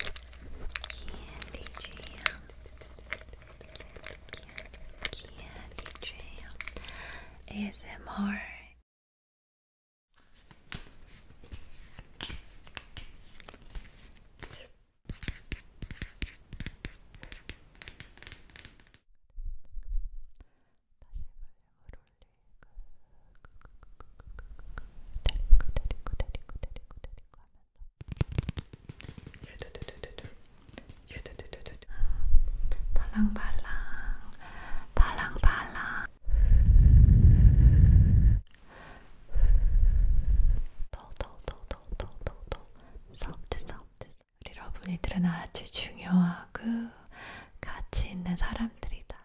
Candy jam, candy jam, is it more? 발랑발랑 발랑발랑 더더더더더더더 소프트 소프트 우리 러브니들은 아주 중요하고 가치 있는 사람들이다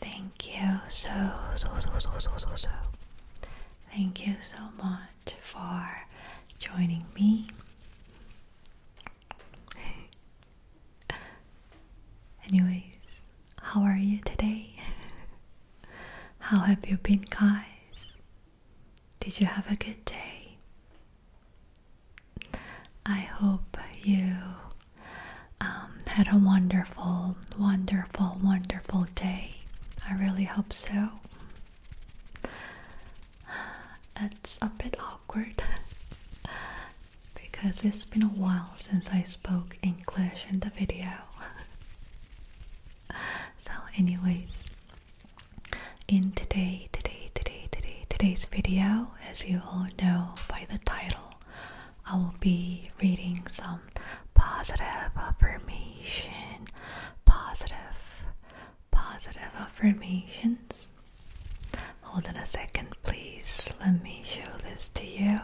Thank you so, so, so, so, so, so, so. Thank you so much for joining me. Anyways, how are you today? how have you been, guys? Did you have a good day? I hope you um, had a wonderful, wonderful, wonderful day. I really hope so. It's a bit awkward because it's been a while since I spoke English in the video. so, anyways, in today, today, today, today, today's video, as you all know by the title. I will be reading some positive affirmation, positive, positive affirmations. Hold on a second, please. Let me show this to you.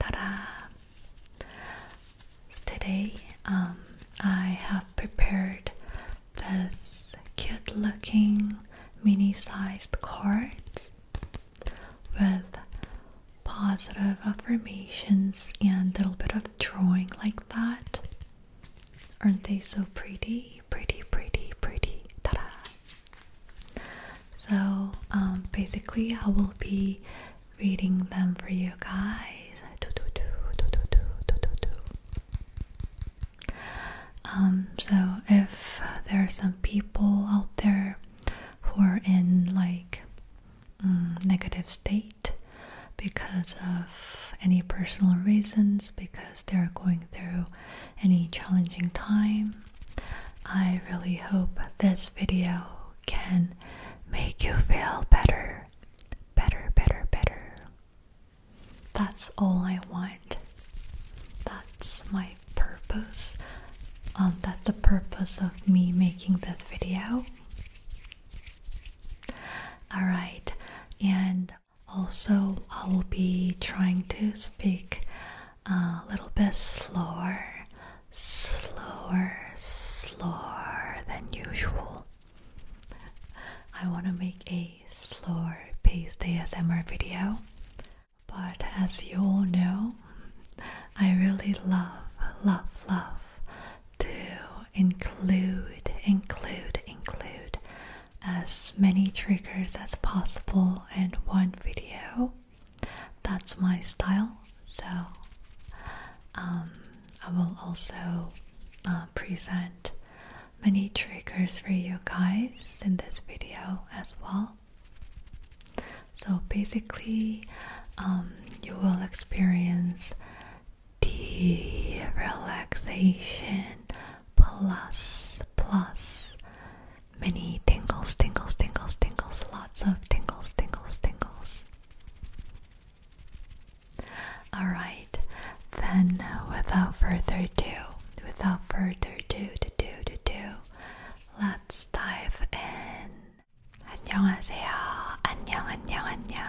Ta-da! Today, um, I have prepared this cute-looking mini-sized card with positive affirmations and a little bit of drawing like that. Aren't they so pretty? Pretty, pretty, pretty. Ta da! So, um, basically, I will be reading them for you guys. Um, so, if there are some people out there who are in like mm, negative state because of any personal reasons, because they're going through any challenging time. I really hope this video can make you feel better, better, better, better. That's all I want. That's my purpose. Um, that's the purpose of me making this video. Alright, and also I will be trying to speak a little bit slower, slower, slower than usual. I want to make a slower paced ASMR video. But as you all know, I really love, love, love to include, include, include as many triggers as possible in one video. That's my style. So um, I will also uh, present many triggers for you guys in this video as well. So basically, um, you will experience the relaxation plus plus many tingles, tingles, tingles, tingles, lots of tingles, tingles, tingles. Alright, then without further ado, without further ado, to do, do, Let's dive in. 안녕하세요. 안녕, 안녕, 안녕.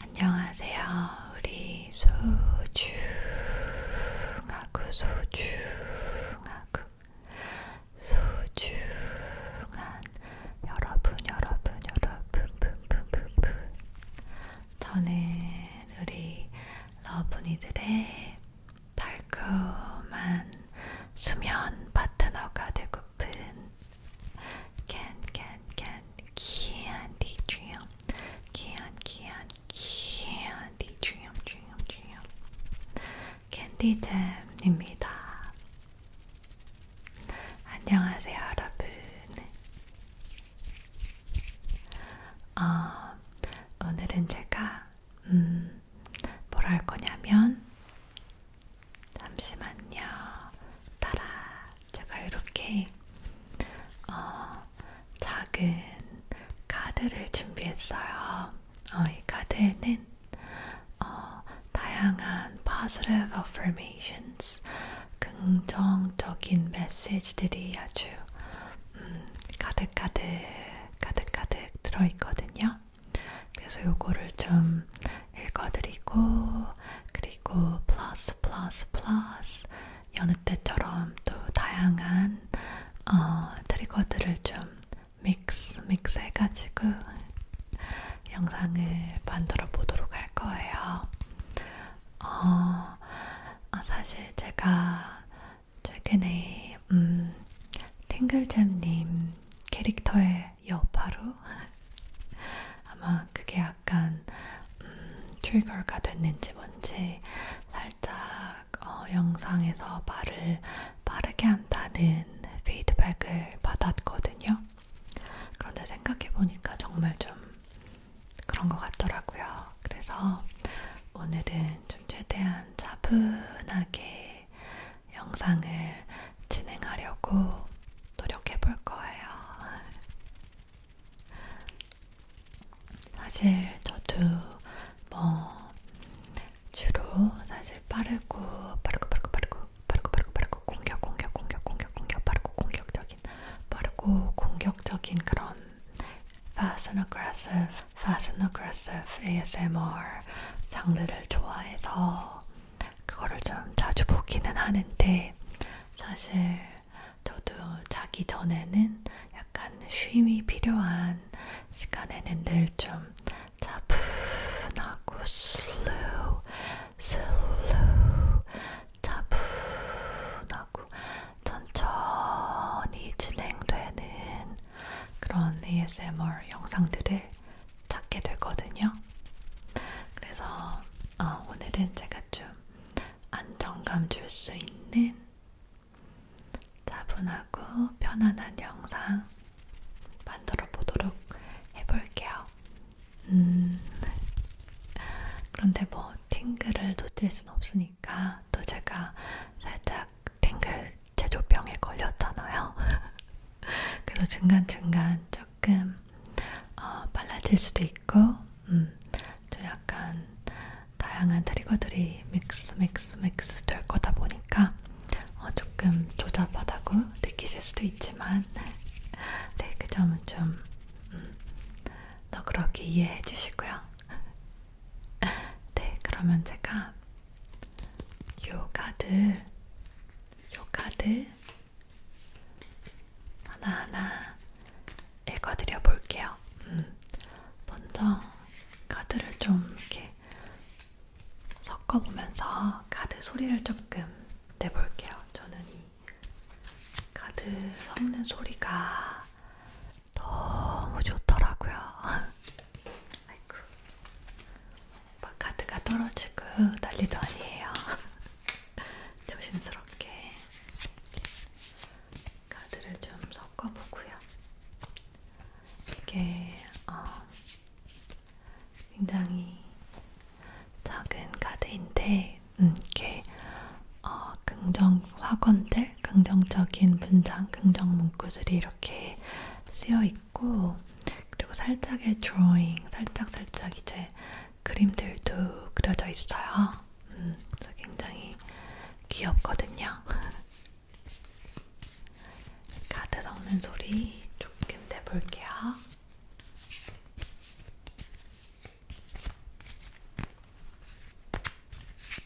안녕하세요. 우리 소중하고 소중하고 소중한 여러분, 여러분, 여러분, 분분분분. 저는 우리 러브니들의 달콤한 수면 파트너가 되고픈 캔캔캔 키안디 주염 키안 키안 키안디 주염 주염 주염 캔디잼입니다. 안녕하세요 여러분. 어, 오늘은 제가 음, 뭘할 거냐면 잠시만요. 따라 제가 이렇게 어, 작은 카드를 준비했어요. 어, 이 카드에는 어, 다양한 positive affirmations 긍정적인 메시지들이 아주 음, 가득가득 가득가득 들어있거든요. 그래서 요거를 좀 읽어드리고 그리고 플러스 플러스 플러스 여느 때처럼 또 다양한 어, 트리거들을 좀 믹스 믹스 해가지고 영상을 만들어 보도록 할 거예요. 어, 아, 사실 제가 최근에 음, 탱글잼님 캐릭터의 여파로 아마 그게 약간 음, 트리거가 됐는지 뭔지 살짝 어, 영상에서 말을 빠르게 한다는 피드백을 받았거든요. 그런데 생각해보니까 정말 좀 그런 것 같더라고요. 그래서 오늘은 좀 최대한 약간 차분하게 영상을 진행하려고 노력해 볼 거예요. 사실 저도 뭐 주로 사실 빠르고 빠르고 빠르고 빠르고 빠르고 빠르고 빠르고 공격 공격 공격 공격 공격 빠르고 공격적인 빠르고 공격적인 그런 fast and aggressive Fast Aggressive ASMR 장르를 좋아해서 그거를 좀 자주 보기는 하는데 사실 저도 자기 전에는 약간 쉼이 필요한 시간에는 늘 좀 차분하고 슬로우 슬로우 차분하고 천천히 진행되는 그런 ASMR 영상들을 찾게 되거든요. 그래서 어, 오늘은 제가 좀 안정감 줄 수 있는 차분하고 편안한 영상 만들어 보도록 해볼게요. 음, 그런데 뭐 팅글을 놓칠 순 없으니까. 보니까 또 제가 살짝 탱글 제조병에 걸렸잖아요. 그래서 중간중간 조금 어, 빨라질 수도 있고, 음, 좀 약간 다양한 트리거들이 믹스, 믹스, 믹스 될 거다 보니까 어, 조금 조잡하다고 느끼실 수도 있지만, 네, 그 점은 좀 음, 너그럽게 이해해 주시고요. 네, 그러면 제가 요가들, 요가들 하나하나 읽어드려 볼게요. 음, 먼저 카드를 좀 이렇게 섞어보면서 카드 소리를 조금 내볼게요. 저는 이 카드 섞는 소리가 너무 좋더라고요. 아이고, 바카드가 떨어지고 난리도 아니에요. 조심스럽게 카드를 좀 섞어보고요. 이게 어, 굉장히 작은 카드인데, 음, 이렇게 어, 긍정 화건들, 긍정적인 분장, 긍정 문구들이 이렇게 쓰여 있고 그리고 살짝의 드로잉, 살짝 살짝 이제 그림들도 그려져 있어요. 음, 그래서 굉장히 귀엽거든요. 카드 섞는 소리 조금 내볼게요.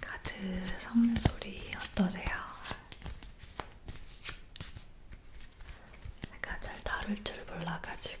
카드 섞는 소리 어떠세요? 제가 잘 다룰 줄 몰라가지고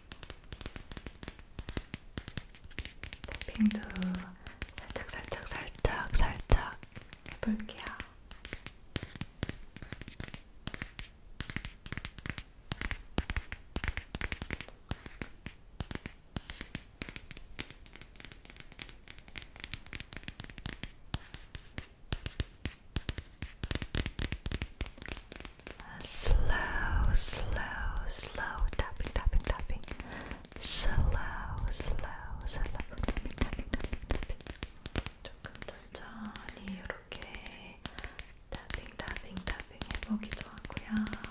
탭핑도 살짝 살짝 살짝 살짝 해볼게요. slow, slow, slow tapping, tapping, tapping, slow, slow, slow tapping, tapping, tapping, 조금 천천히 이렇게 tapping, tapping, tapping 해보기도 하고요.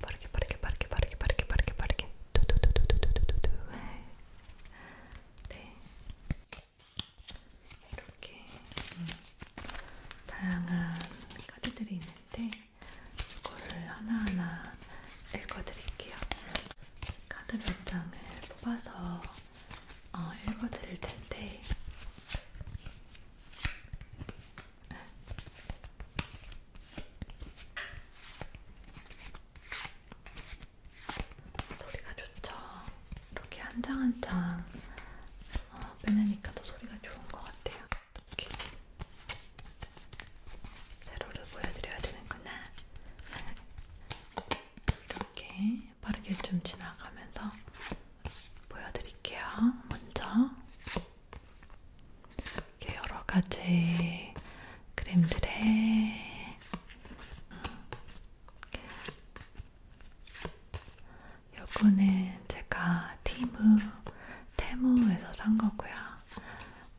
빠르게 빠르게 빠르게 빠르게 빠르게 빠르게 빠르게 두두두두두두두두 네 이렇게 음, 다양한 카드들이 있는데 이거를 하나하나 읽어드릴게요. 카드 몇 장을 뽑아서 어, 읽어드릴 텐데 소리가 좋죠. 이렇게 한 장 한장 어, 빼내니까 더 소리가 좋은 것 같아요. 이렇게 세로를 보여드려야 되는구나. 이렇게 빠르게 좀 지나가면서 보여드릴게요. 먼저 이렇게 여러 가지 그림들의 요거는 제가 티무 테무에서 산 거고요.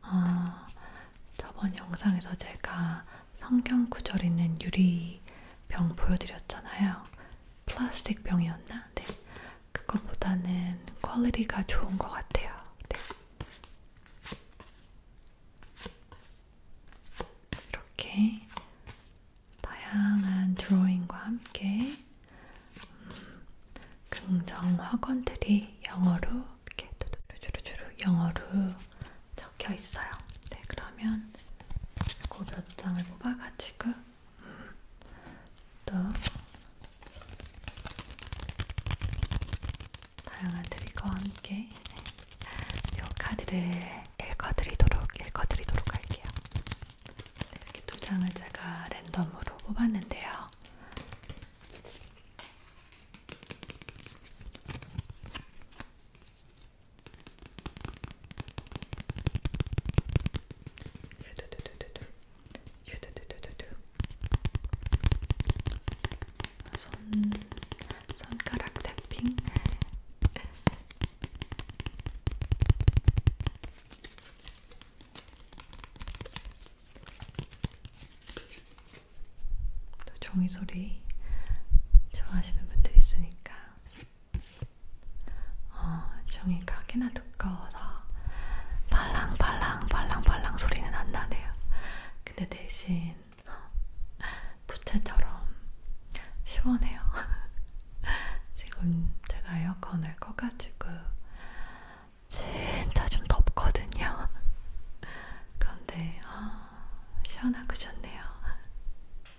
어, 저번 영상에서 제가 성경 구절 있는 유리병 보여드렸잖아요. 플라스틱 병이었나? 네. 그거보다는 퀄리티가 좋은 것 같아요. 네. 이렇게 다양한 드로잉과 함께 음, 긍정 화건들이 영어로 이렇게 두루두루두루 영어로 적혀 있어요. 네, 그러면 이거 몇 장을 뽑아가지고. 지금? 음. 또 다양한 트릭과 함께 이 카드를 읽어드리도록 읽어드리도록 할게요. 네, 이렇게 두 장을 제가 랜덤으로 뽑았는데요. 손, 손가락 탭핑 또 종이 소리 좋아하시는 분들 있으니까 어, 종이 가게나 두꺼워서 발랑발랑 발랑발랑 소리는 안 나네요. 근데 대신 어, 부채처럼 시원해요. 지금 제가 에어컨을 꺼가지고 진짜 좀 덥거든요. 그런데 어, 시원하고 좋네요.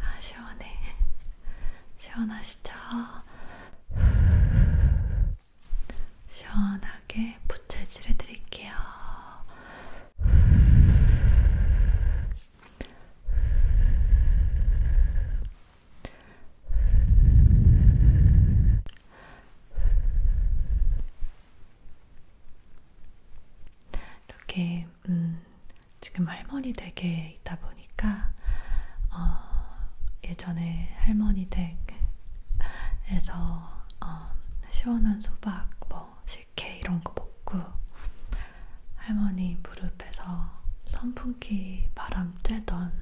아, 시원해. 시원하시죠? 시원하게 부채질 해드릴게요. 이렇게 음, 지금 할머니 댁에 있다 보니까 어, 예전에 할머니 댁에서 어, 시원한 수박, 뭐 식혜 이런 거 먹고 할머니 무릎에서 선풍기 바람 쬐던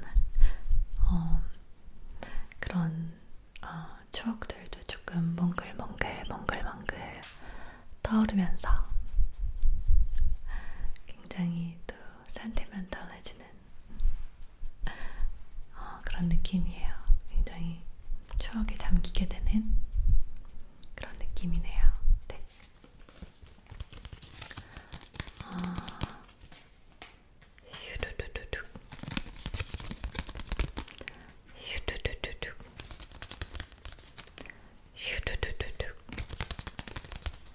어, 그런 어, 추억들도 조금 몽글몽글 몽글몽글 떠오르면서 굉장히 또 산대만 달라지는 어, 그런 느낌이에요. 굉장히 추억에 잠기게 되는 그런 느낌이네요. 네. 어, 휴두두두두. 휴두두두두. 휴두두두두.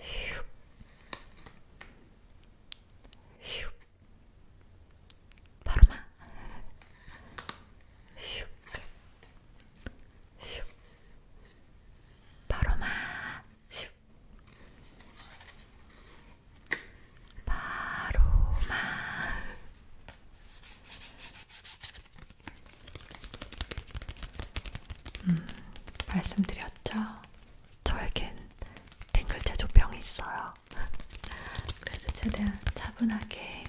휴. 휴. 바로마. 휴. 휴. 바로마. 휴. 바로마. 음, 말씀드렸죠? 저에겐 탱글제조병이 있어요. 그래서 최대한 차분하게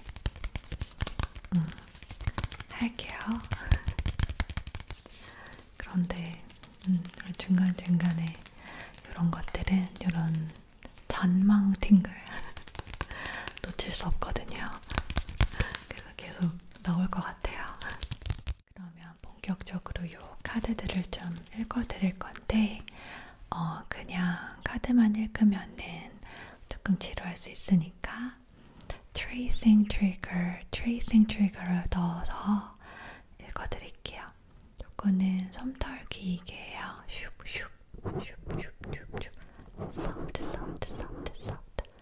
음, 할게요. 그런데 음, 중간중간에 이런 것들은 이런 전망 팅글 놓칠 수 없거든요. 그래서 계속 나올 것 같아요. 그러면 본격적으로 요 카드들을 좀 읽어드릴 건데, 어, 그냥 카드만 읽으면은 조금 지루할 수 있으니까, tracing trigger, tracing trigger를 넣어서 읽어드릴게요. 요거는 솜털기이게요. 슉슉슉슉슉슉. soft, soft, soft, soft.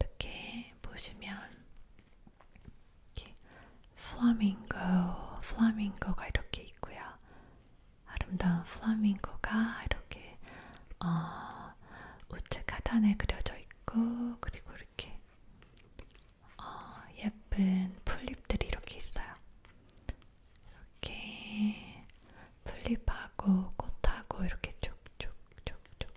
이렇게 보시면 이렇게 플라밍고, 플라밍고가 이렇게 있고요. 아름다운 플라밍고가 이렇게 어, 우측 하단에 그려져 있고 그리고 이렇게 어, 예쁜 풀잎들이 이렇게 있어요. 이렇게 풀잎하고 꽃하고 이렇게 쭉쭉쭉쭉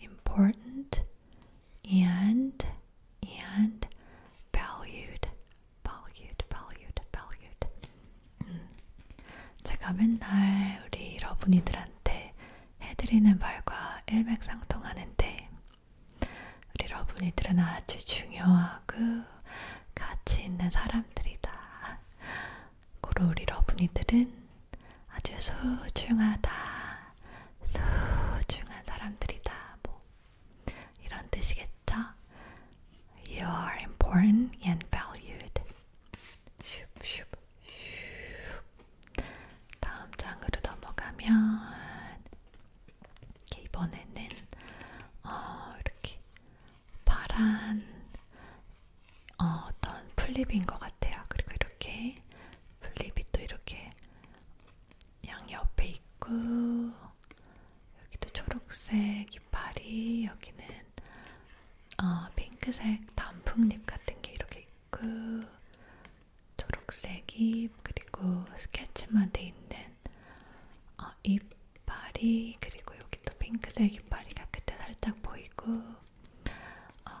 important and and valued valued valued valued 음. 제가 맨날 우리 러분이들한테 해드리는 말과 일맥상통하는데 우리 러분이들은 아주 중요하고 가치 있는 사람들이다. 고로 우리 러분이들은 아주 소중하다 소중한 사람들이다. 뭐 이런 뜻이겠죠? You are important and valued. 슉, 슉, 슉. 다음 장으로 넘어가면 이번에는 어, 이렇게 파란 어, 어떤 플립인 것 같아요. 그리고 이렇게 플립이 또 이렇게 양옆에 있고 여기도 초록색 이파리 여기는 어, 핑크색 단풍잎 같은 게 이렇게 있고 초록색 잎 그리고 스케치만 돼 있는 어, 이파리 그리고 여기도 핑크색 이파리가 그때 살짝 보이고 어,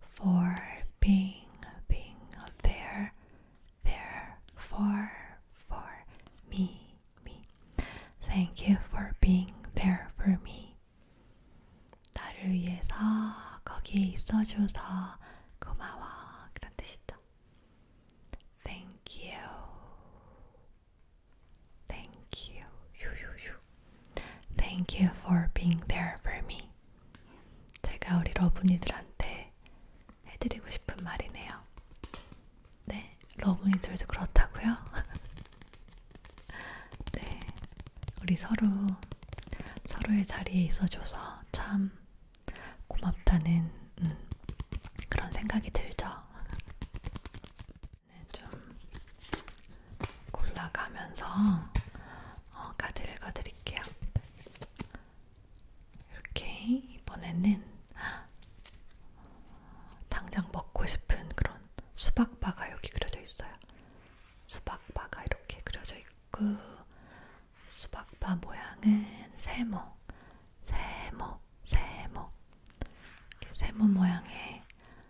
for being, being there, there for, for me, me. Thank you for being there for me. 나를 위해서 거기에 있어줘서 고마워. 그런 Thank you. Thank you. you. Thank you for being there for me. 제가 우리 러브니들한테 해드리고 싶은 말이네요. 네, 러브니들도 그렇다고요? 네, 우리 서로 서로의 자리에 있어줘서 참 고맙다는 음, 그런 생각이 들죠. 네, 좀 골라가면서 어, 카드 읽어드릴게요. 이렇게 이번에는 당장 먹고 싶은 그런 수박바가 여기 그려져 있어요. 수박바가 이렇게 그려져 있고 수박바 모양은 세모, 세모, 세모, 세모 모양의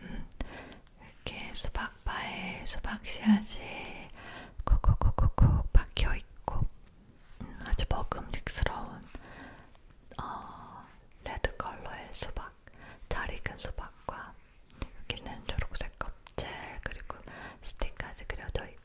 음, 이렇게 수박바에 수박씨앗이 콕콕콕콕콕 박혀있고 음, 아주 먹음직스러운 어, 레드 컬러의 수박, 잘 익은 수박과 여기는 초록색 껍질 그리고 스틱까지 그려져 있고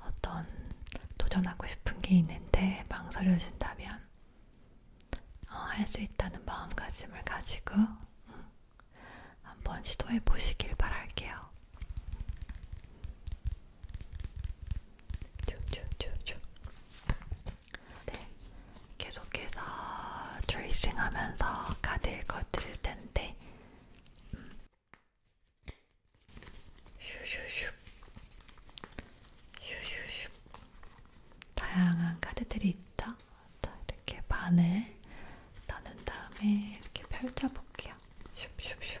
어떤 도전하고 싶은 게 있는데 망설여진다면 어, 할수 있다는 마음가짐을 가지고 음, 한번 시도해 보시길 바랄게요. 쭉쭉쭉쭉. 네, 계속해서 트레이싱하면서 카드 읽어드릴 텐데 음, 휴휴휴 휴휴휴 다양한 카드들이 있죠? 자, 이렇게 반을 나눈 다음에 이렇게 펼쳐볼게요. 슉슉슉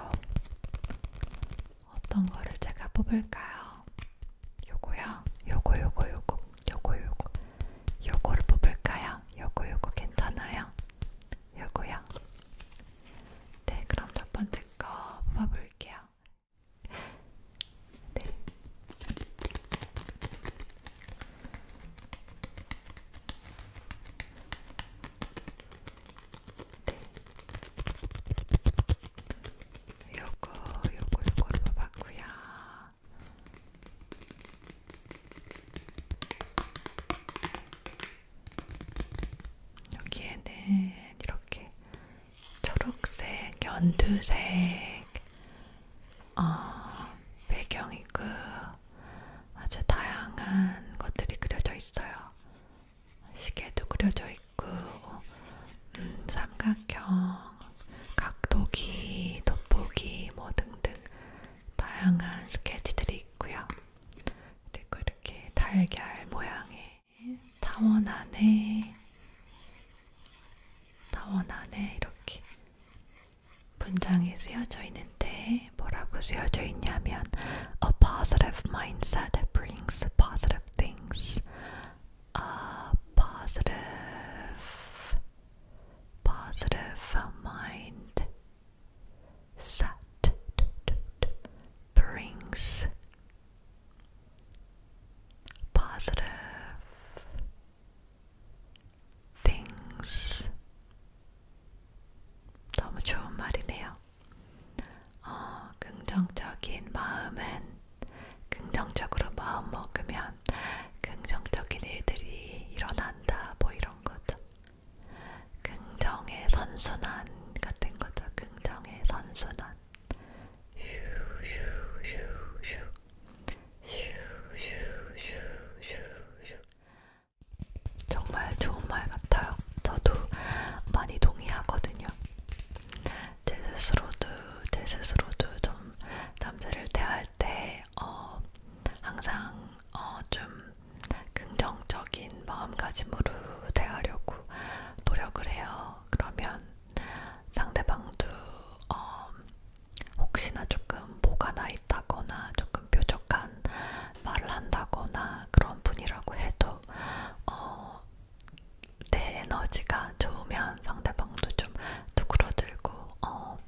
있어요. 어떤 거를 제가 뽑을까요? 요거요? 요거 요거 요거 요거 요거 요거를 뽑을까요? 요거 요거 괜찮아요? 요거요? 네 그럼 첫 번째 거 뽑아볼게요. 네. 네. 요거, 요거, 요거 뽑았구요. 여기에는 이렇게 초록색, 연두색, 어, 배경이고, 아주 다양한 것들이 그려져 있어요. 시계도 그려져 있고, 음, 삼각형, 각도기, 돋보기, 뭐 등등 다양한 스케치들이 있고요. 그리고 이렇게 달걀 모양의 타원 안에, 타원 안에 이렇게 분장이 쓰여져 있는데 뭐라고 쓰여져 있냐면 a positive mindset brings positive things. A positive, positive mind set brings positive things 너무 좋은 말이네요. 어, 긍정적인 마음은 긍정적으로 마음 먹으면 긍정적인 일들이 일어난다, 뭐 이런 거죠. 긍정의 선순환 같은 거죠. 긍정의 선순환. 휴휴휴휴. 휴휴휴휴휴. 정말 좋은 말 같아요. 저도 많이 동의하거든요. 제 스스로도 제 스스로도 좀 남자를 대할 때 어, 항상 어, 좀 긍정적인 마음가짐으로 대하려고 노력을 해요. 그러면 상대방도 어, 혹시나 조금 뭐가 나 있다거나 조금 뾰족한 말을 한다거나 그런 분이라고 해도 어, 내 에너지가 좋으면 상대방도 좀 두그러들고 어,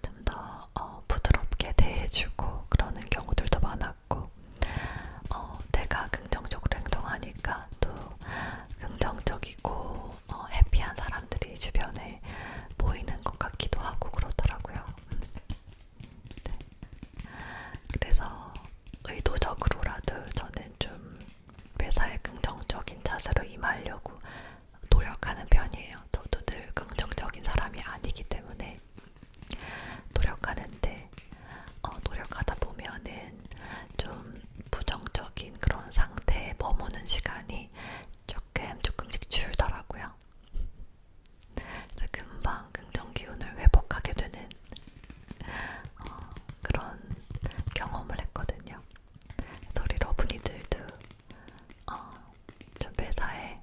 좀더 어, 부드럽게 대해주고 그러는 경우들도 많았고 어, 내가 긍정적으로 행동하니까 또 긍정적이고 어, 해피한 사람들이 주변에 보이는 것 같기도 하고 그러더라고요. 음. 네. 그래서 의도적으로라도 저는 좀 회사에 긍정적인 자세로 임하려고 노력하는 편이에요. 저도 늘 긍정적인 사람이 아니기 때문에 노력하는데 어, 노력하다 보면은 좀 부정적인 그런 상태에 머무는 시간이 조금 조금씩 줄더라고요. 금방 긍정 기운을 회복하게 되는 어, 그런 경험을 했거든요. 그래서 우리 러브니들도 어, 좀 회사에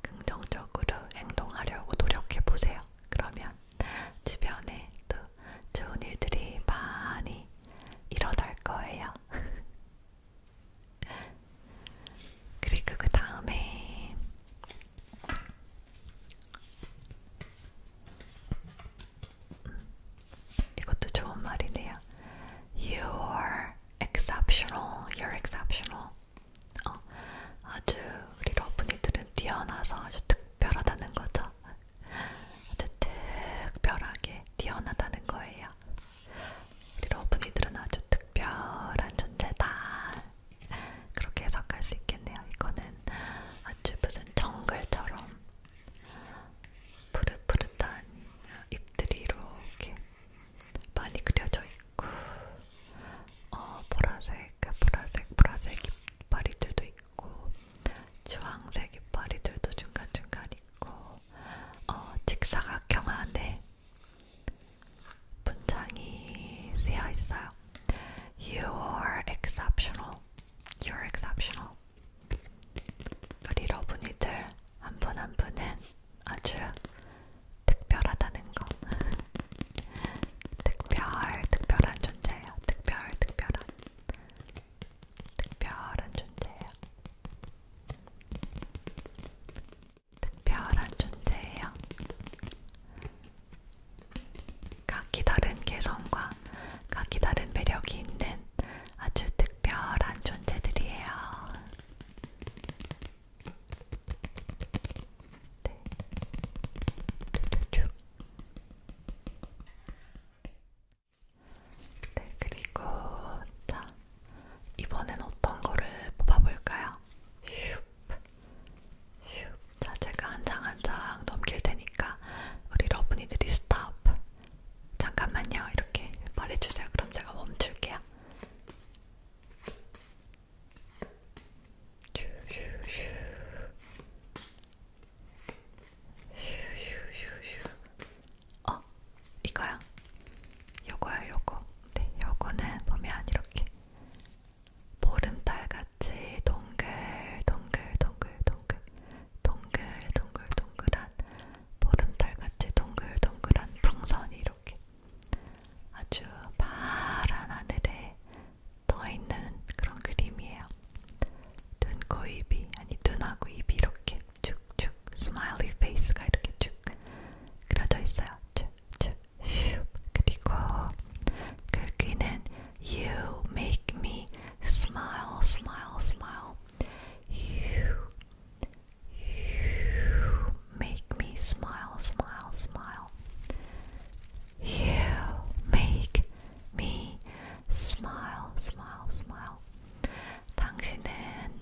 긍정적으로 행동하려고 노력해 보세요. 그러면 주변에 또 좋은 일들이 많이 일어날 거예요. 그리고 그 다음에 음, 이것도 좋은 말이네요. You're exceptional. You're exceptional. 어, 아주 우리 러브니들은 뛰어나서 아주 특별하다는 거죠. 아주 특별하게 뛰어나다는 거예요. 우리 러브니들은 아주 특별한 존재다. 그렇게 해석할 수 있겠네요. 이거는 아주 무슨 정글처럼 푸릇푸릇한 잎들이 이렇게 많이 그려져 있고, 어, 보라색, 그 보라색, 보라색 이파리들도 있고, 주황색 이파리들도 중간중간 있고, 어, 직사각형 안에 문장이 쓰여 있어요. You are exceptional. You're exceptional. 우리 러분이들 한분한 한 분은 아주 특별하다는 거. 특별, 특별한 존재예요. 특별, 특별한, 특별한 존재예요. 특별한 존재예요. 각기 다른 개성과 각기 다른 매력이 있는 아주 특별한 존재들이에요. 네. 네, 그리고 자 이번엔 어떤 거를 뽑아볼까요? 휴. 휴. 자, 제가 한 장 한 장 넘길 테니까 우리 러브니들이 스탑. 잠깐만요. 이렇게 말해주세요. 그럼 제가 멈출게요. 휴휴휴. 휴휴휴휴. 어, 이거야. 요거야, 요거. 네, 요거는 보면 이렇게 보름달 같이 동글, 동글, 동글, 동글, 동글, 동글, 동글한 보름달 같이 동글, 동글한 풍선이 이렇게 아주 파란 하늘에 떠 있는 그런 그림이에요. 눈, 코, 입이 아니 눈하고 입이 이렇게 쭉 smiley face가 이렇게 쭉 그려져 있어요. 쭉쭉 슉 그리고 You make me smile, smile, smile. You, you make me smile, smile, smile. You make me smile, smile, smile. 당신은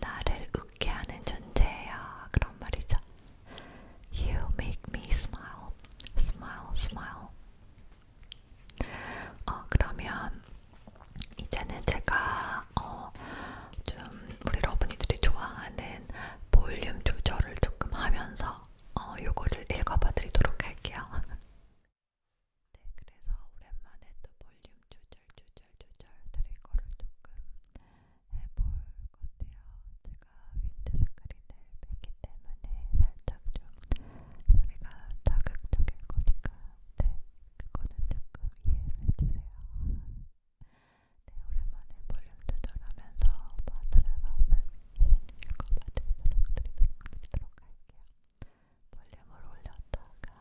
나를 함께하는 존재예요. 그런 말이죠. You make me smile, smile, smile. 어, 그러면 이제는 제가 어, 좀 우리 러브니들이 좋아하는 볼륨 조절을 조금 하면서 어, 요거를 읽어봐드리도록 할게요. 네, 그래서 오랜만에 또 볼륨 조절 조절 조절조절 트리거를 조금 해볼 건데요. 제가 윈드스크린을 뺐기 때문에 살짝 좀 소리가 자극적일 거니까 네, 그거는 조금 이해를 해주세요. 네, 오랜만에 볼륨 조절하면서 바늘의 마음을 읽어봐드리도록 드리도록 드리도록 할게요. 볼륨을 올렸다가 내렸다가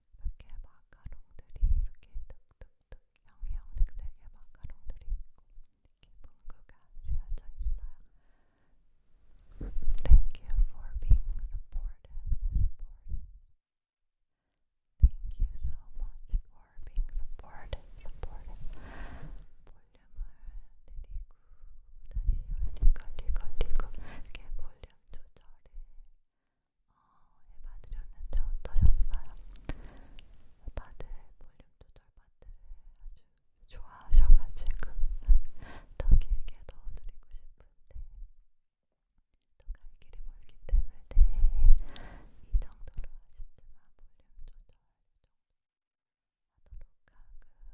Thank you for being supportive. Thank you so much for being supportive. 어, 해봐드렸는데 어떠셨어요? 다들 볼륨 조절 파트를 아주 좋아하셔가지고 더 길게 넣어드리고 싶은데 또갈 길이 멀기 때문에 이 정도로 아쉽지만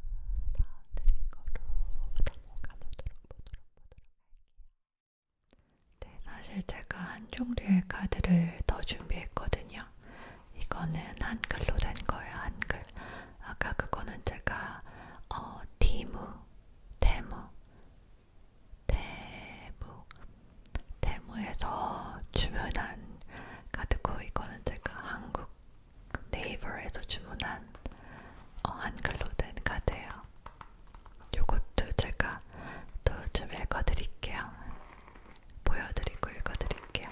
볼륨 조절 하도록 하고 다음 드릴 거로 넘어가보도록 보도록 보도록 할게요. 네, 사실 제가 한 종류의 카드를 더 준비했거든요. 이거는 한글로 된 거예요, 한글. 아까 그거는 제가 어, 디무, 데무, 데무, 데무에서 주문한 카드고 이거는 제가 한국 네이버에서 주문한 어, 한글로 된 카드예요. 요것도 제가 또 좀 읽어드릴게요. 보여드리고 읽어드릴게요.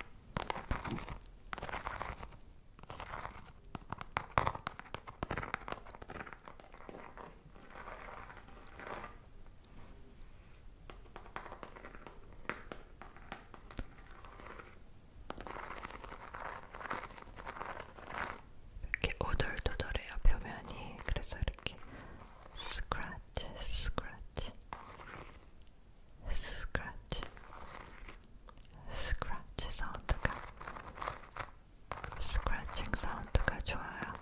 이렇게 오돌도돌해요 표면이 그래서 이렇게 스크래치 스크래치 스크래치 스크래치 사운드가 스크래칭 사운드가 좋아요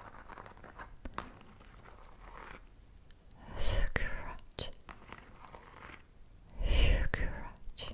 스크래치 스크래치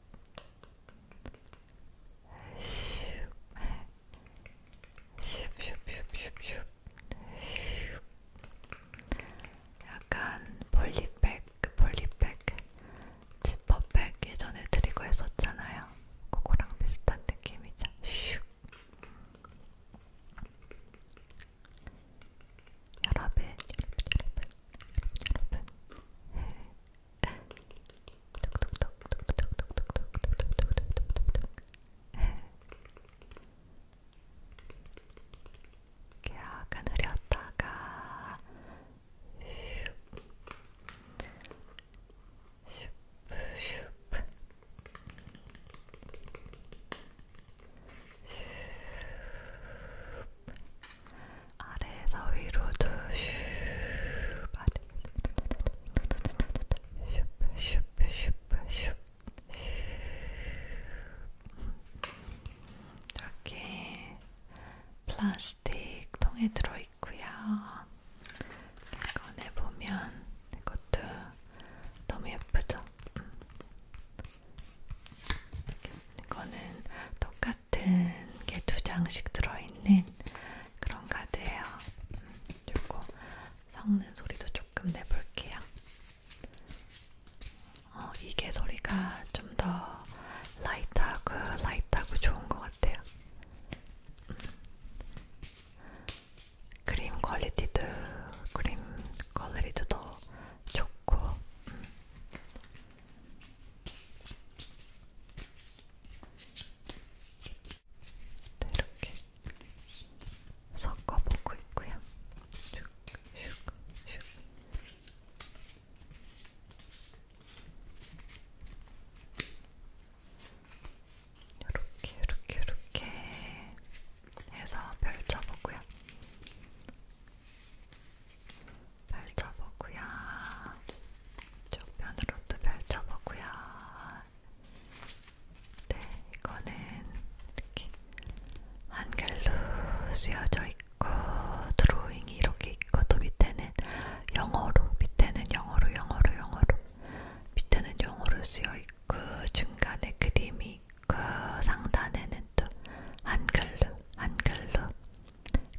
슉슉슉슉슉 약간 볼리백, 볼리백, 지퍼백 예전에 드리고 했었잖아요. 그거랑 비슷한 느낌이죠. 슉. 여러분, 여러분, 여러분, 여러분, 여러분, 이렇게 약간 흐렸다가 슈프 슈프 슈프 슈프 아래에서 위로도 슈 아래에서 슈슈슈슈슈 이렇게 플라스틱 통에 들어있고요. 꺼내 보면 이것도 너무 예쁘죠? 음. 이거는 똑같. 같은 게 두 장씩 들어있는 그런 카드예요. 그리고 섞는 소리도 조금 내볼게요. 어, 이게 소리가 좀 더 라이트하고 라이트하고 좋은 것 같아요. 음. 그림 퀄리티도 그림 퀄리티도 더 좋고 음. 네, 이렇게 섞어보고 있고요. 슉, 슉, 슉. 이렇게, 이렇게, 이렇게 해서 펼쳐보고요. 펼쳐보고요. 쪽면으로도 펼쳐보고요. 네, 이거는 이렇게 한 결로 쓰여져 있고 드로잉이 이렇게 있고 또 밑에는 영어로, 밑에는 영어로, 영어로, 영어로, 밑에는 영어로 쓰여 있고 중간에 그림이 있고 상단에는 또 한글로, 한글로,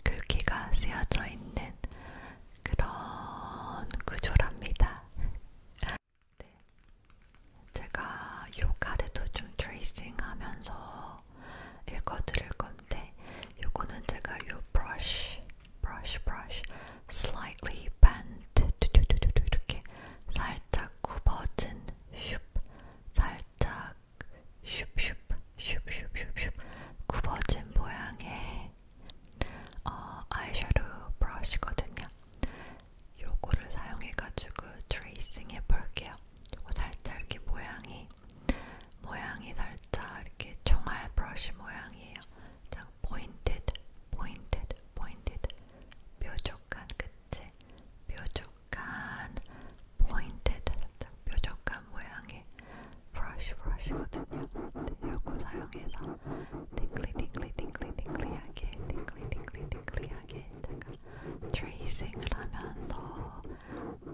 글귀가 그 쓰여져 있는 그런 구조랍니다. 네. 제가 요 카드도 좀 트레이싱 하면서 읽어드릴 건데, 요거는 제가 요 브러쉬, 브러쉬, 브러쉬, slightly bent, 이렇게 살짝 굽어진, 슉, 살짝 슉슉슉슉슉슉 굽어진 모양의 어, 아이섀도우 브러쉬거든요. 요거를 사용해가지고 트레이싱 해볼게요. 요거 살짝 이렇게 모양이 모양이 살짝 이렇게 총알 브러쉬 모양이에요. 자, 포인ted, 포인ted, 포인ted 뾰족한 끝에 뾰족한 포인트드 살짝 뾰족한 모양의 브러쉬 브러쉬거든요. 네, 요거 사용해서 띵클리 띵클리 띵클리 띵클리하게 띵클리 띵클리 띵클리하게 제가 트레이싱을 하면서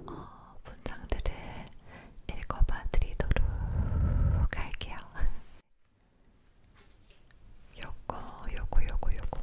어, 문장들을 읽어봐 드리도록 할게요. 요거 요거 요거 요거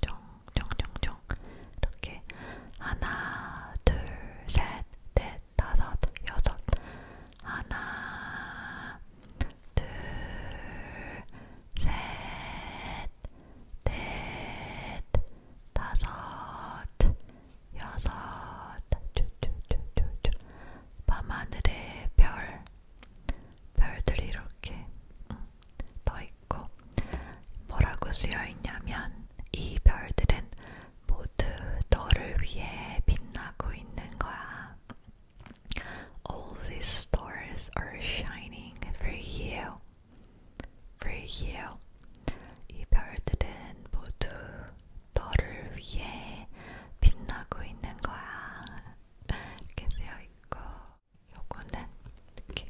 정정정정정 이렇게 하나 둘 셋 넷 다섯 여섯 하나 둘 셋 넷 다섯 여섯 쭈쭈쭈쭈쭈 밤하늘의 별 별들이 이렇게 떠있고 음, 뭐라고 쓰여있냐면 이 별들은 모두 너를 위해 빛나고 있는 거야. All these stars are shining for you. For you. 이 별들은 모두 너를 위해 빛나고 있는 거야. 이렇게 되어 있고. 요거는 이렇게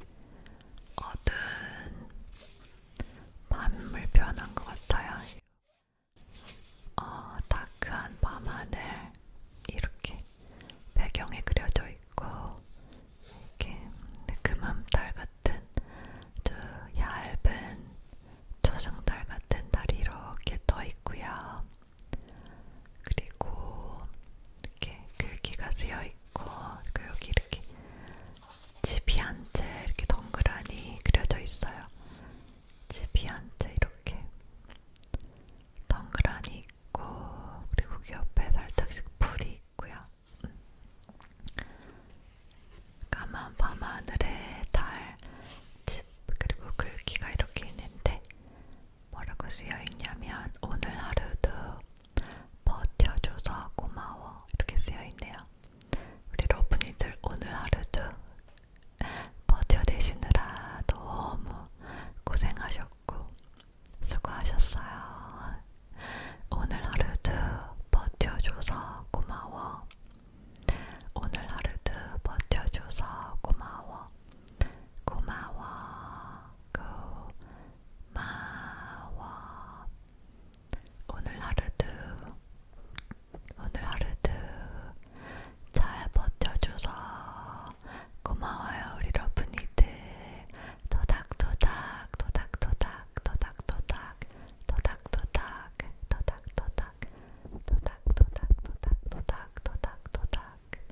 어두운 밤을 표현한 것 같아요. 어, 다크한 밤하늘 이렇게 배경에 그려져 있고 이렇게 금암달 같은 저 얇은 초승달 같은 달이 이렇게 떠 있고요. 그리고 이렇게 글귀가 쓰여 있고, 그러니까 여기 이렇게 집이 한채 이렇게 덩그라니 그려져 있어요. 집이 한 채 이렇게 덩그라니 있고, 그리고 그 옆에 살짝씩 풀이 있고요. 음. 까만 밤하늘에 달, 집, 그리고 글귀가 이렇게 있는데 뭐라고 쓰여있냐면 오늘 하루도 버텨줘서 고마워 이렇게 쓰여있네요 우리 러브니들 오늘 하루도 버텨내시느라 너무 고생하셨고 수고하셨어요 오늘 하루도 버텨줘서 고마워 오늘 하루도 버텨줘서 고마워 고마워, 고마워. 오늘 하루도, 오늘 하루도 잘 버텨줘서 고마워요, 우리 러브니들. 도닥도닥, 도닥도닥, 도닥도닥, 도닥도닥, 도닥도닥, 도닥도닥, 도닥도닥, 도닥도닥.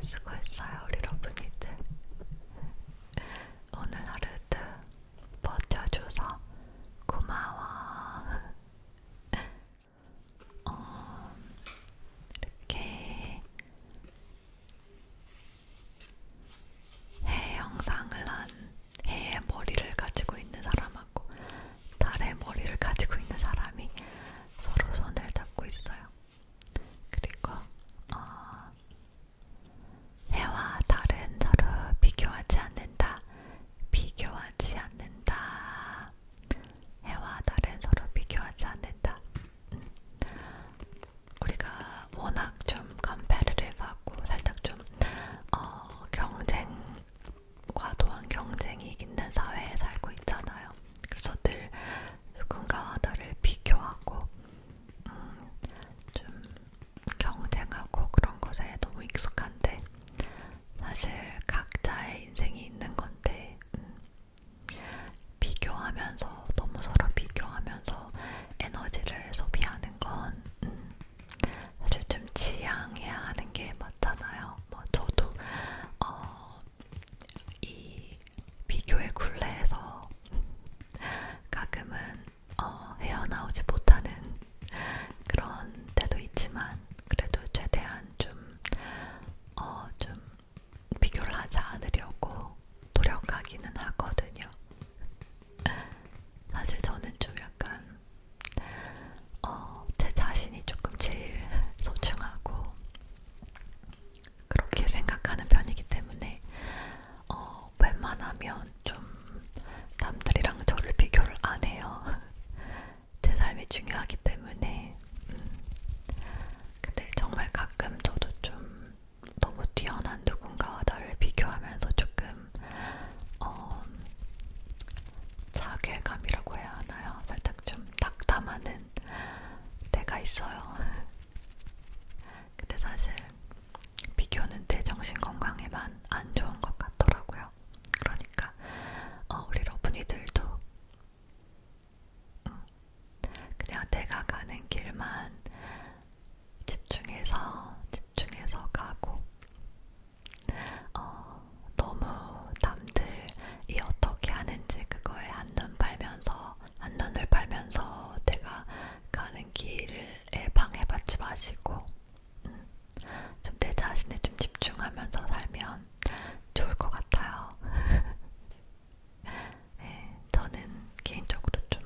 수고했어요 우리 러브니들 오늘 하루도 버텨줘서 고마워 어, 이렇게 해 영상을 한 해의 머리를 가지고 있는 사람하고 달의 머리를 가지고 있는 사람이 서로 손을 잡고 있어요. 그리고 어, 해와 달은 서로 비교하지 않는다. 비교하지 않는다. 해와 달은 서로 비교하지 않는다. 음. 우리가 워낙 좀 컴페리티브하고 살짝 좀 어, 경쟁 과도한 경쟁이 있는 사회에 살고 있잖아요. 그래서 늘 누군가와 나를 비교하고 음, 좀 경쟁하고 그런 것에 너무 익숙한데 사실 각자의 인생이 있는 건데 음, 비교하면서 너무 서로 비교하면서 에너지를 소비하는 건 음, 사실 좀 지양해야 하는 게 맞잖아요. 뭐 저도 어, 이 비교의 굴레에서 가끔은 어, 헤어나오지 못하는 그런 때도 있지만 그래도 최대한 좀, 어, 좀 비교를 하지 않으려고 노력하기는 하거든요. 사실 저는 좀 약간 어, 제 자신이 조금 제일 소중하고 그렇게 생각하는 편이기 때문에 어, 웬만하면 좀 남들이랑 저를 비교를 안 해요. 제 삶이 중요하기 때문에 음. 근데 정말 가끔 저도 좀 너무 뛰어난 누군가와 나를 비교하면서 조금 어, 자괴감이라고 해야 하나요? 딱좀 닥담하는 때가 있어요. 근데 사실 비교는 제 정신건강에만 안 좋은 것 같더라고요. 그러니까 어, 우리 러브니들도 음, 그냥 내가 가는 길만 집중해서 집중해서 가고 어, 너무 남들이 어떻게 하는지 그거에 한눈 팔면서 한눈을 팔면서 내가 가는 길에 방해받지 마시고 음, 좀내 자신에 좀 집중하면서 살면 좋을 것 같아요. 네, 저는 개인적으로 좀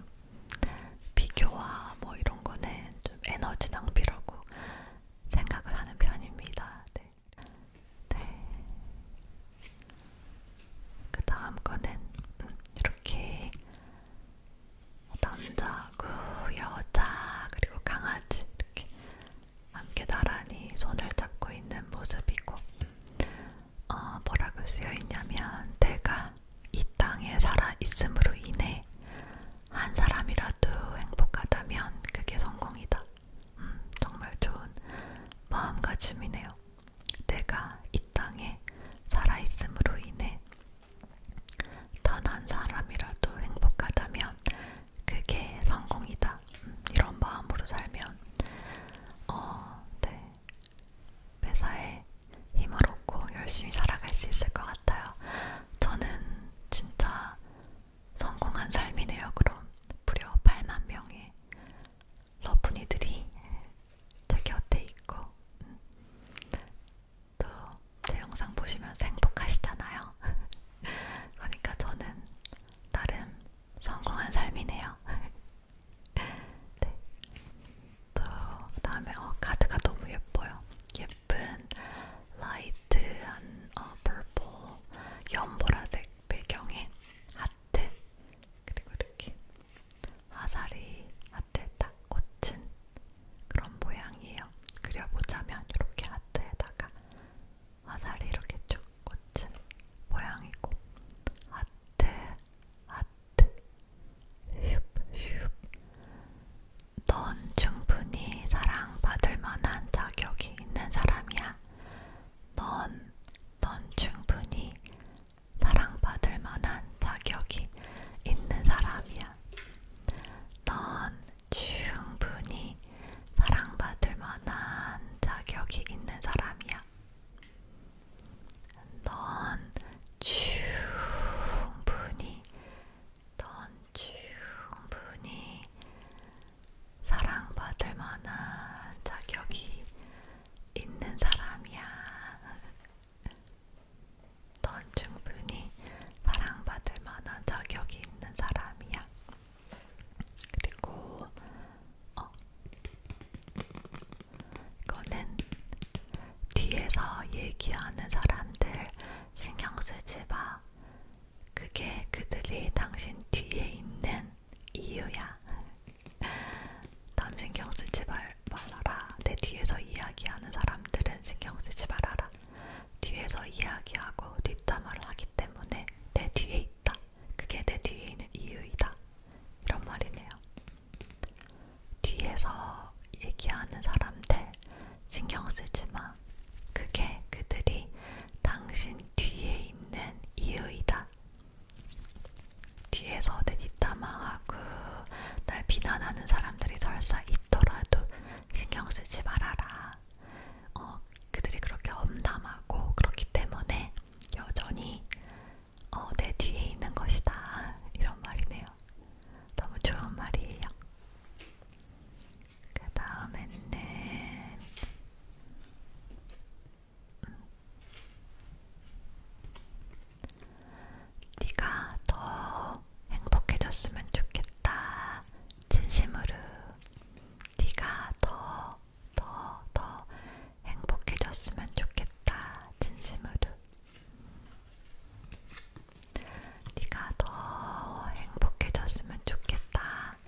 비교와 뭐 이런 거는 좀 에너지 낭비라고 생각을 하는 편입니다. 네. 네. 그 다음 거는 이렇게 남자하고 여자 그리고 강아지 이렇게 함께 나란히 손을 잡고 있는 모습이고 어, 뭐라고 쓰여있냐면 내가 이 땅에 살아있음으로 인해 한 사람이라도 행복하다면 그게 성공이다 음, 정말 좋은 마음가짐이네요. 내가 이 땅에 살아있음으로 인해 단한 사람이라도 행복하다면 그게 성공이다. 음, 이런 마음으로 살면 어, 네. 회사에 힘을 얻고 열심히 살아갈 수 있을 것 같아요. 저는 진짜 성공한 삶이네요. 그럼 무려 8만 명의 러브니들이 제 곁에 있고 음, 또제 영상 보시면서 행복하시잖아요. 그러니까 저는 나름 성공한 삶이네요. 네. 또 다음에 어, 카드가 너무 예뻐요. 예쁜 라이트한 어, 퍼플 연보라색 배경에 하트 그리고 이렇게 화살이 하트에 딱 꽂힌 그런 모양이에요. 그려보자면 이렇게 하트에다가 화살이 이렇게 쭉 꽂힌 모양이고 하트 하트 넌 충분히 사랑받을 만한 자격이 능력이 있는 사람이야. 넌, 넌 충분히 사랑받을 만한 자격이 있는 사람이야. 넌 충분히 사랑받을 만한 자격이 있는 사람이야. 넌 충분히, 넌 충분히 사랑받을 만한 자격이 있는 사람이야. 넌 충분히 사랑받을 만한 자격이 있는 사람이야. 그리고 어, 이거는 뒤에서 얘기하는 사람들 신경 쓰지 마. 그게 그들이 당신 뒤에 있는 이유야. 남 신경 쓰지 말, 말아라. 내 뒤에서 이야기하는 사람들은 신경 쓰지 말아라. 뒤에서 이야기하고 뒷담화를 하기 때문에 내 뒤에 있다. 그게 내 뒤에 있는 이유이다. 이런 말이네요. 뒤에서 얘기하는 사람들 신경 쓰지 마. 거야. 그게 그들이 당신 뒤에 있는 이유이다. 뒤에서 내 뒷담화하고 날 비난하는 사람들이 설사 있더라도 신경 쓰지 말아라. 어, 그들이 그렇게 엄담하고 그렇기 때문에 여전히 어, 내 뒤에 있는 것이다. 이런 말이네요. 너무 좋은 말이에요. 그 다음에는 음, 네가 더 행복해졌으면 좋겠다. 진심으로 네가 더, 더, 더 행복해졌으면 좋겠다. 진심으로 네가 더 행복해졌으면 좋겠다.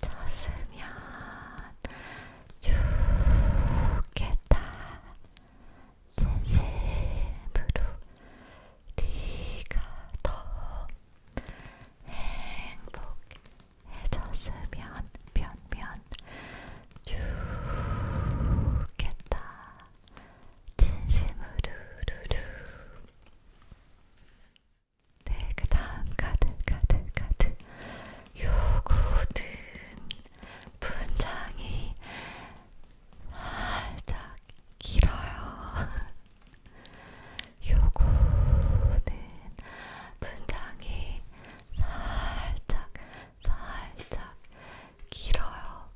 졌으면 좋겠다. 진심으로 네가 더 행복해졌으면 몇면 좋겠다. 진심으로 루루. 네, 그 다음 카드, 카드, 카드. 요거든 분장이 살짝 길어요. 요거는 분장이 살짝, 살짝 길어요.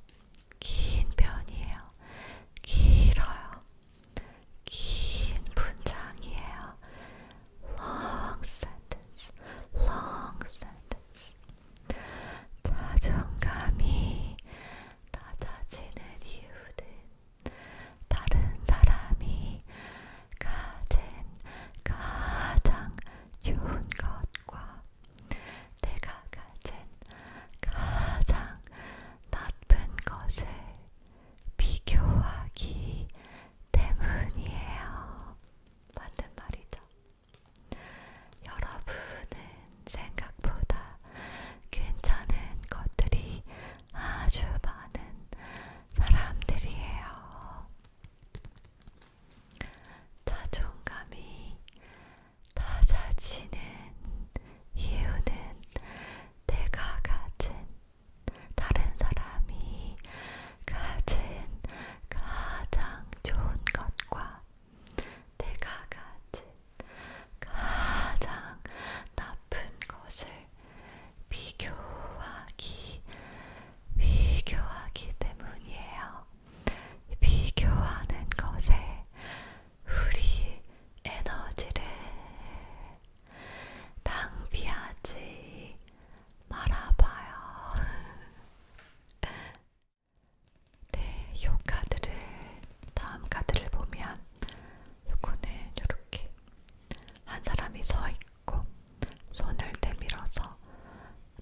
긴 편이에요. 길어요. 긴 문장이에요. Long sentence, long sentence. 자존감이 낮아지는 이유는 다른 사람이 가진 가장 좋은 것과 내가 가진 가장 나쁜 것을 비교하기 때문이에요. 맞는 말이죠. 여러분은 생각보다 괜찮은 것들이 아주 많은 사람들이에요. 자존감이 낮아지는 이유는 내가 가진 다른 사람이 가진 가장 좋은 것과 내가 가진 가장 나쁜 것을 비교하기, 비교하기 때문이에요. 비교하는 것에 우리 에너지를 낭비하지 말아봐요. 네, 요 카드를 다음 카드를 보면 요거는 요렇게 한 사람이 서 있고 손을 내밀어서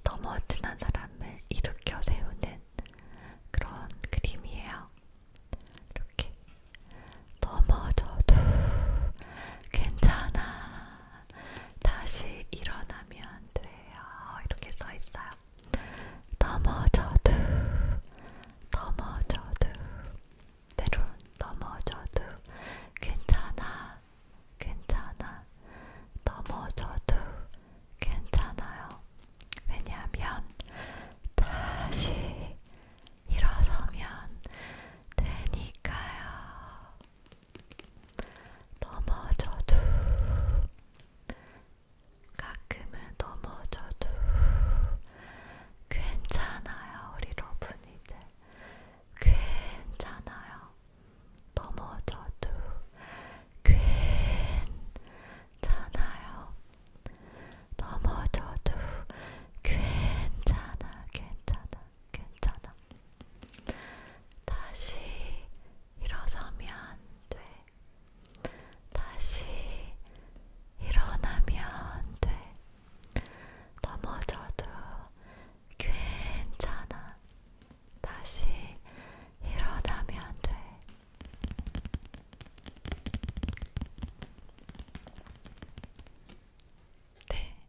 넘어진 한 사람을 일으켜 세우는 그런 그림이에요. 이렇게 넘어져도 괜찮아. 다시 일어나면 돼요. 이렇게 써 있어요. 넘어져도 넘어져도 때론 넘어져도 괜찮아. 괜찮아. 넘어져도 괜찮아요. 왜냐하면 다시 일어서면 되니까요. 넘어져도 가끔은 넘어져도 괜찮아요. 우리 러브니들 괜찮아요. 넘어져도 괜찮아요. 넘어져도 괜찮아 괜찮아 괜찮아. 다시 일어서면 돼. 다시 일어나면 돼. 넘어져도 괜찮아. 다시 일어나면 돼. 네.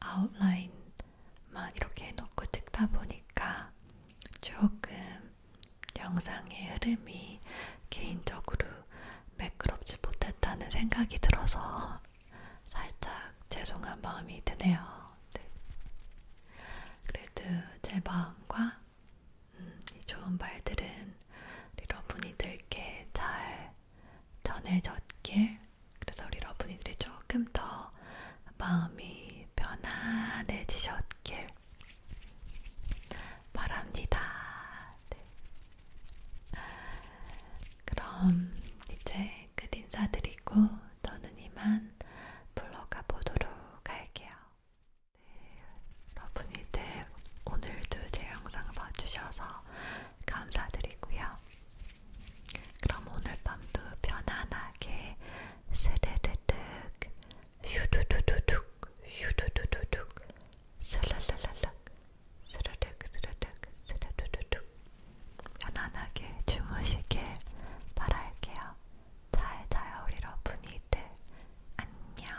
아웃라인만 이렇게 해놓고 찍다 보니까 조금 영상의 흐름이 개인적으로 매끄럽지 못했다는 생각이 들어서 살짝 죄송한 마음이 드네요. 네. 그래도 제 마음과 음, 이 좋은 말들은 여러분이 들게 잘 전해졌길 그래서 우리 러분이들이 조금 더 마음이 편안해지셨길 바랍니다. 네. 그럼 이제 끝 인사드리고 저는 이만 불러가 보도록 할게요. 네, 러분이들 오늘도 제 영상을 봐주셔서 감사드리고요. 그럼 오늘 밤도 편안하게 스르르륵 휴두두두둑 휴두두두둑 스르르르륵 스르륵 스르륵 스르르르륵 편안하게 주무시길 바랄게요. 잘 자요 우리 러분이들 안녕